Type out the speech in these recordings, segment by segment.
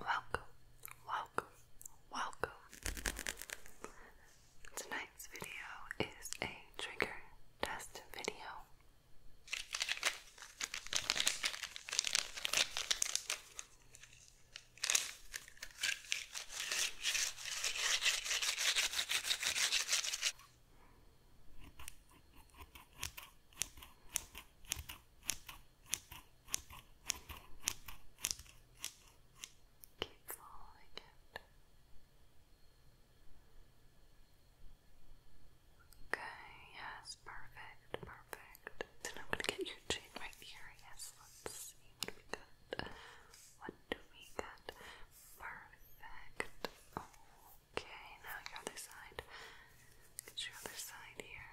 Welcome, welcome, welcome. Tonight's video is a trigger test video. Keep following it. Okay, yes, perfect, perfect. Then I'm gonna get your chin right here. Yes, let's see what we got. What do we got? Perfect. Okay, now your other side. your other side here.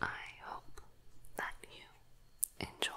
I hope that you enjoy.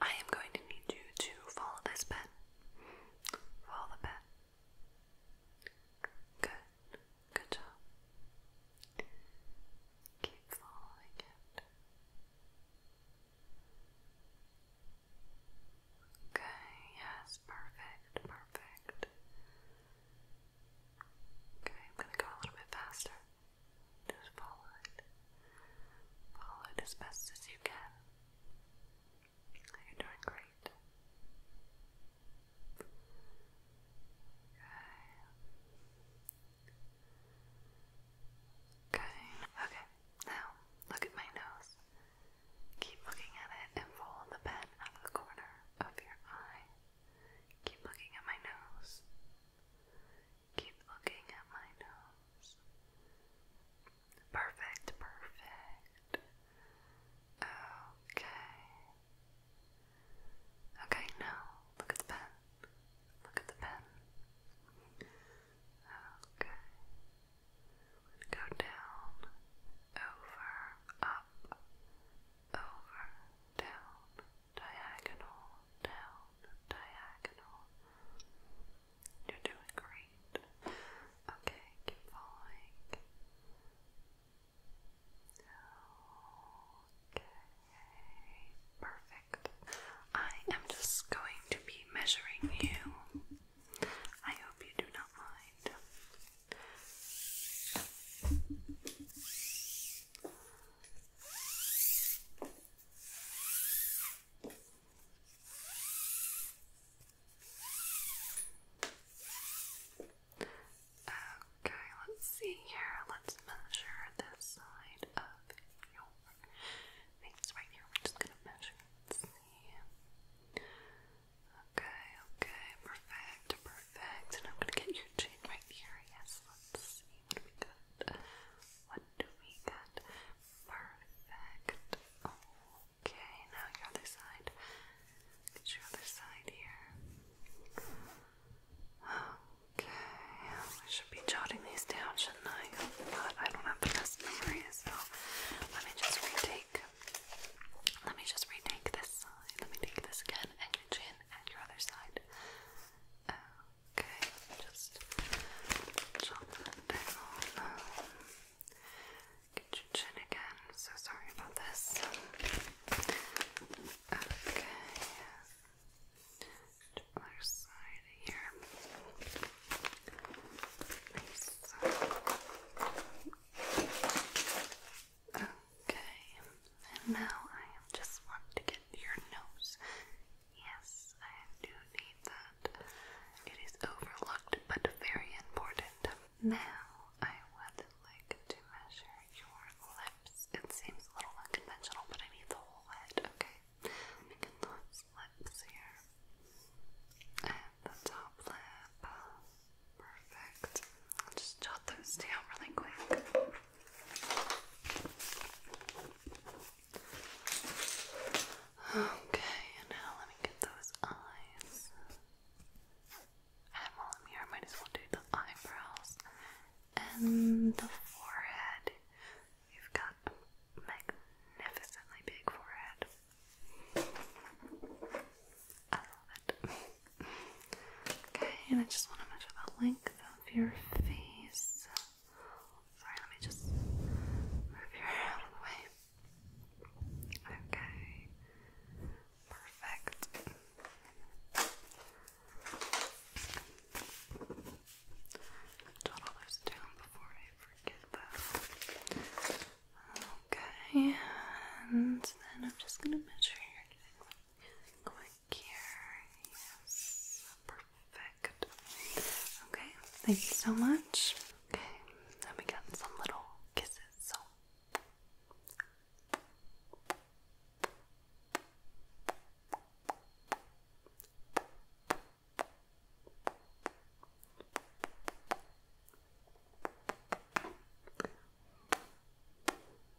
I am going to need you to follow this pen. Follow the pen. Good. Good job. Keep following it. Okay, yes, perfect, perfect. Okay, I'm gonna go a little bit faster. Just follow it. Follow it as best as you can. You're doing great. Okay. Okay. Okay. Now look at my nose. Keep looking at it and fold the pen out of the corner of your eye. Keep looking at my nose. Keep looking at my nose. Perfect, perfect. Okay. Okay, now look at the pen. Look at the pen. Okay. Go down, over, up, over, down, diagonal, down, diagonal. You're doing great. Okay, keep following. Okay, perfect. I am just going to be measuring you. I hope you do not mind. Okay, let's see here. Let's measure this side of your face right here. We're just gonna measure. Okay, okay, perfect, perfect. And I'm gonna get your chin right here. Yes, let's see see what we got. What do we got? Perfect. Okay, now your other side. Get your other side here. Okay, I should be jotting these down, shouldn't I? But I don't have the best memory, so let me just retake. Let me just retake this Let me take this again, and your chin, and your other side. Okay, just jot down. Get your chin again. so sorry about this. Okay. other side here. Okay now I just want to get your nose. Yes, I do need that. It is overlooked but very important. Now I would like to measure your lips. It seems a little unconventional, but I need the whole head, okay? Let me get those lips here. the top lip. Perfect. just jot those down really quick. Okay, and now let me get those eyes. And while I'm here, I might as well do the eyebrows and the forehead. You've got magnificently big forehead. I love it. Okay, and I just want to measure the length of your face. Sorry, let me just move your hair out Okay, perfect. Jot all those down before I forget that. Okay, and then I'm just gonna measure your neck. Yes, perfect. Okay, thank you so much. Okay, now we got some little kisses.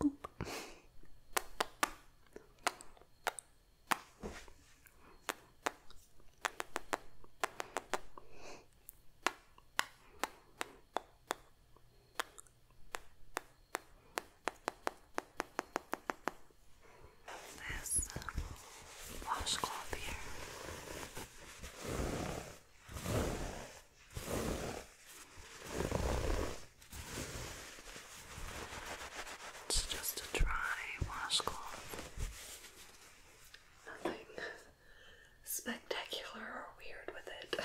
Boop. This washcloth here it's just a dry washcloth. Nothing spectacular or weird with it.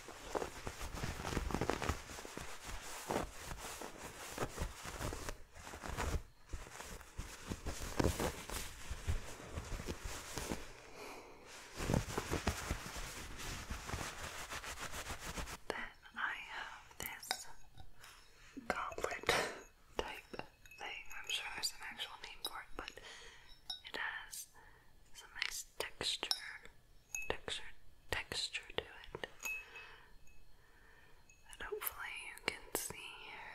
Then I have this goblet type thing. I'm sure there's an actual name for it, but it has some nice texture texture texture to it hopefully you can see here.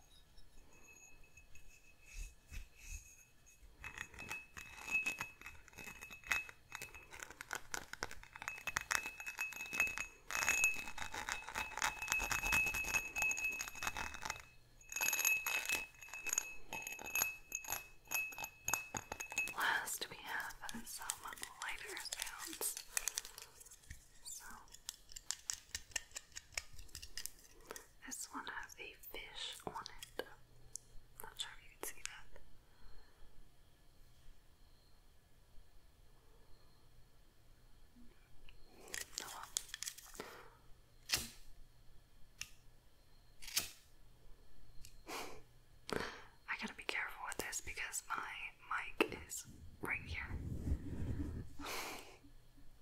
Last, we have some lighter sounds. So this one has a fish on it. Not sure if you can see that. I gotta be careful with this because my mic is right here.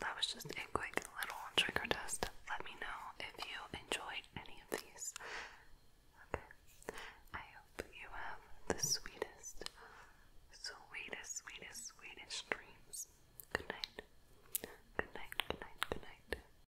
That was just a quick little trigger test. Let me know if you enjoyed any of these. I hope you have the sweetest, sweetest, sweetest, sweetest dreams. Good night. Good night, good night, good night.